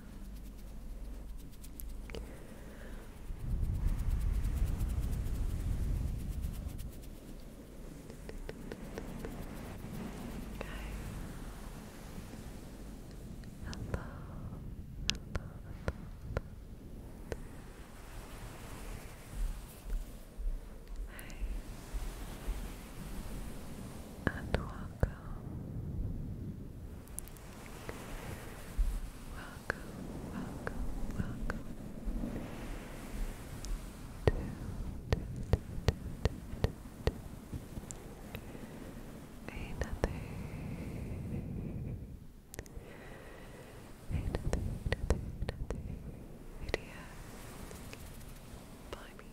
hello, hello. Hi. And welcome. Welcome, welcome, welcome to, another, another, another, another by me.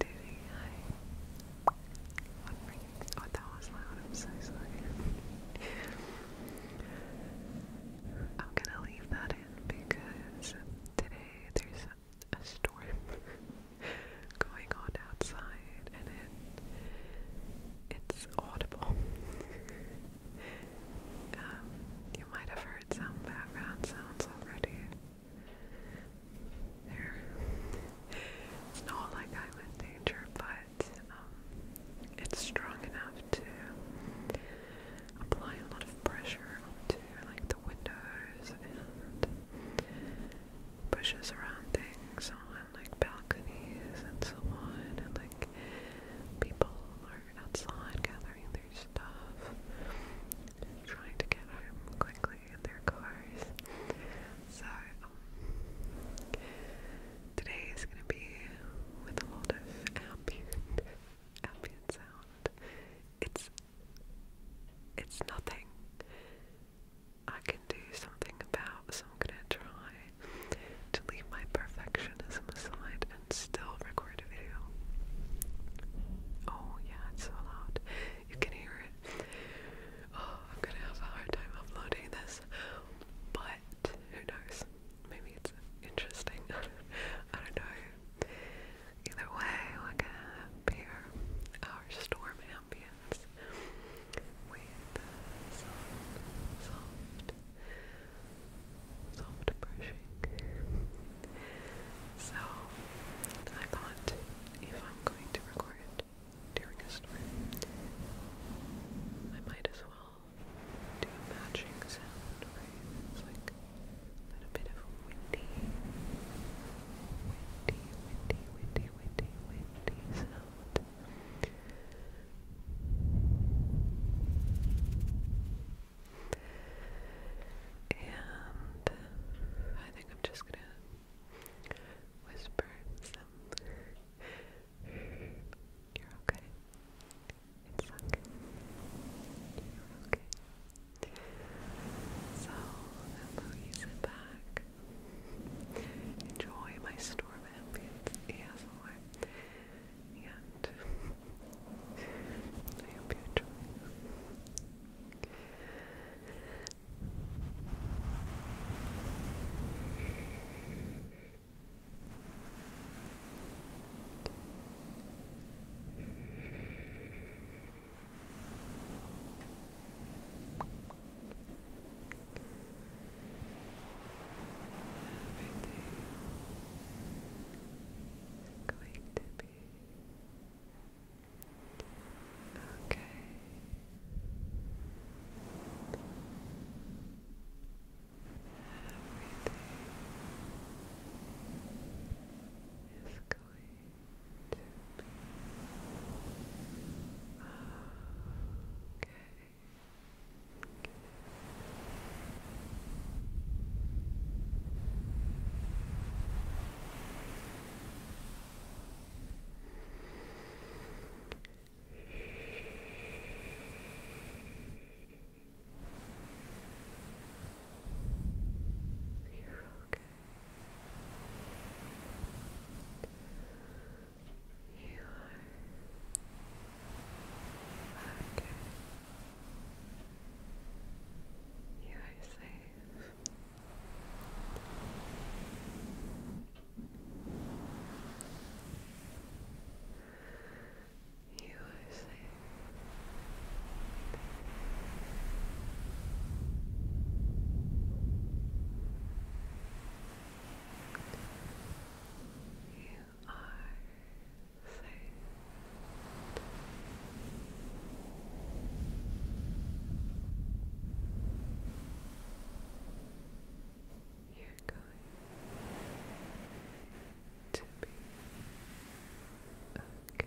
Doing I what that was loud, I'm so sorry. I'm gonna leave that in because today there's a storm going on outside and it it's audible. you might have heard some background sounds already. It's not like i danger, but um, it's strong enough to apply a lot of pressure onto like the windows and pushes around things on like balconies and so on, and like people are outside gathering their stuff, trying to get home quickly in their cars. So um, today is gonna be with a lot of ambient, ambient sound. It's it's nothing. I can do something about, so I'm gonna try to leave my perfectionism aside and still record a video. Oh yeah, it's so loud. You can hear it. Oh, I'm gonna have a hard time uploading this, but who knows? Maybe it's interesting. I don't know. Either way, we're gonna have our storm ambience with soft, soft, soft brushing. So I thought if I'm going to record during a storm, I might as well do a matching sound, like a bit of windy, windy, windy, windy, windy, windy sound. And I think I'm just gonna whisper You're okay. It's okay. You're okay. So, hello, you sit back. Enjoy my storm ambience And I hope you enjoy. Everything is going to be Okay. Everything is going to be okay. You're okay. You are okay. You are safe. You are safe. You are food. You're going to be okay. You're okay.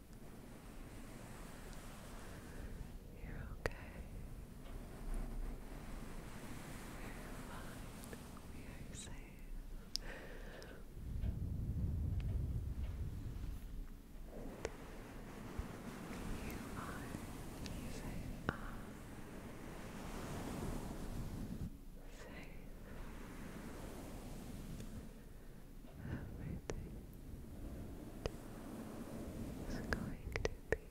You're okay. You're fine. We are safe. You are safe. safe. Everything is going to be okay. Everything is going to be okay.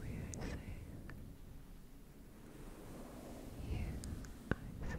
We are safe. You are safe.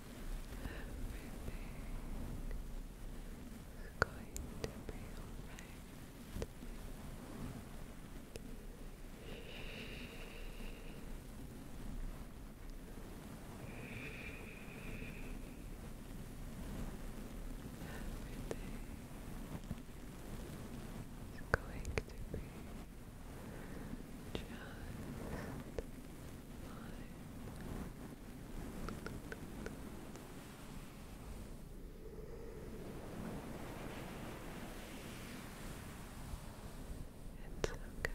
is going to be alright. Everything is going to be just it's okay.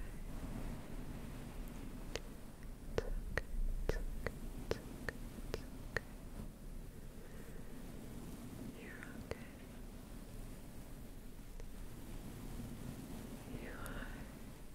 It's okay. It's okay. It's okay. You're okay. You are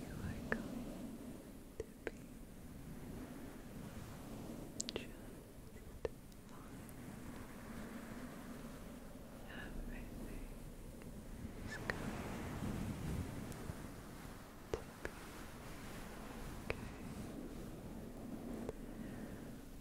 You are going to be just fine. Everything is going to be okay.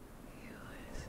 You are You you are safe.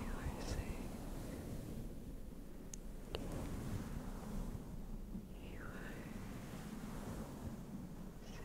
You are safe. You are safe. You are safe.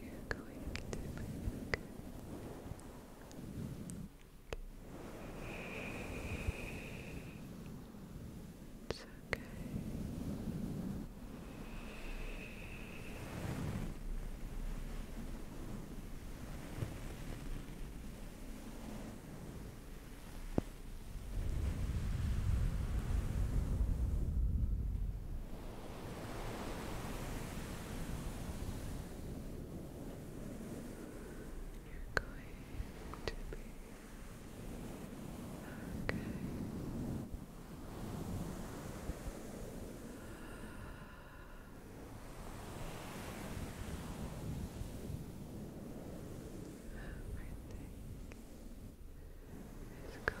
You're going to make it's okay. You're going to be okay. Everything is going just fine.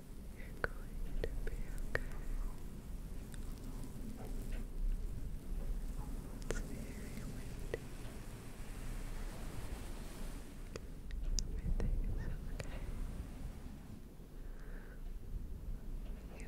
you going to be okay. It's very windy. Everything okay. You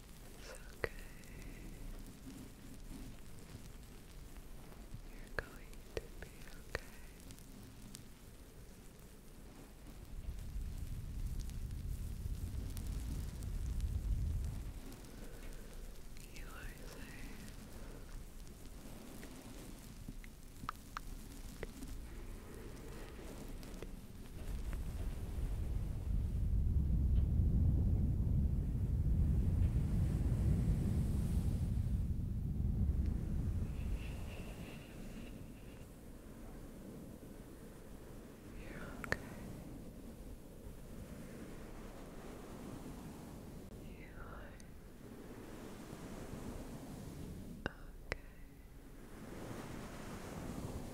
It's okay. You're going to be okay. You are safe. You're okay. You are okay.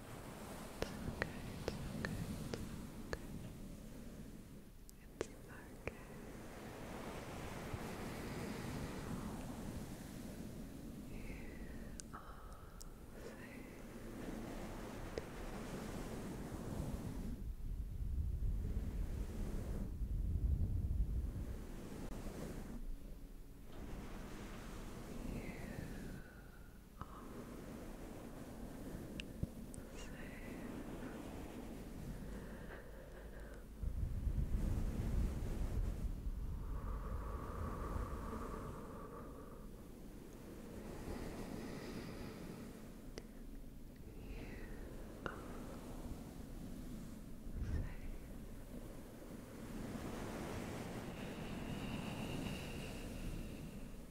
It's okay, it's okay, it's okay. You are safe. You safe. It's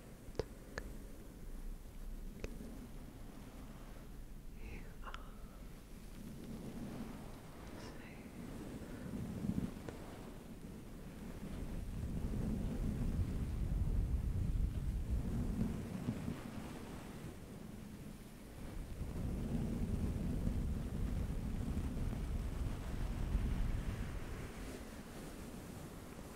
You are safe.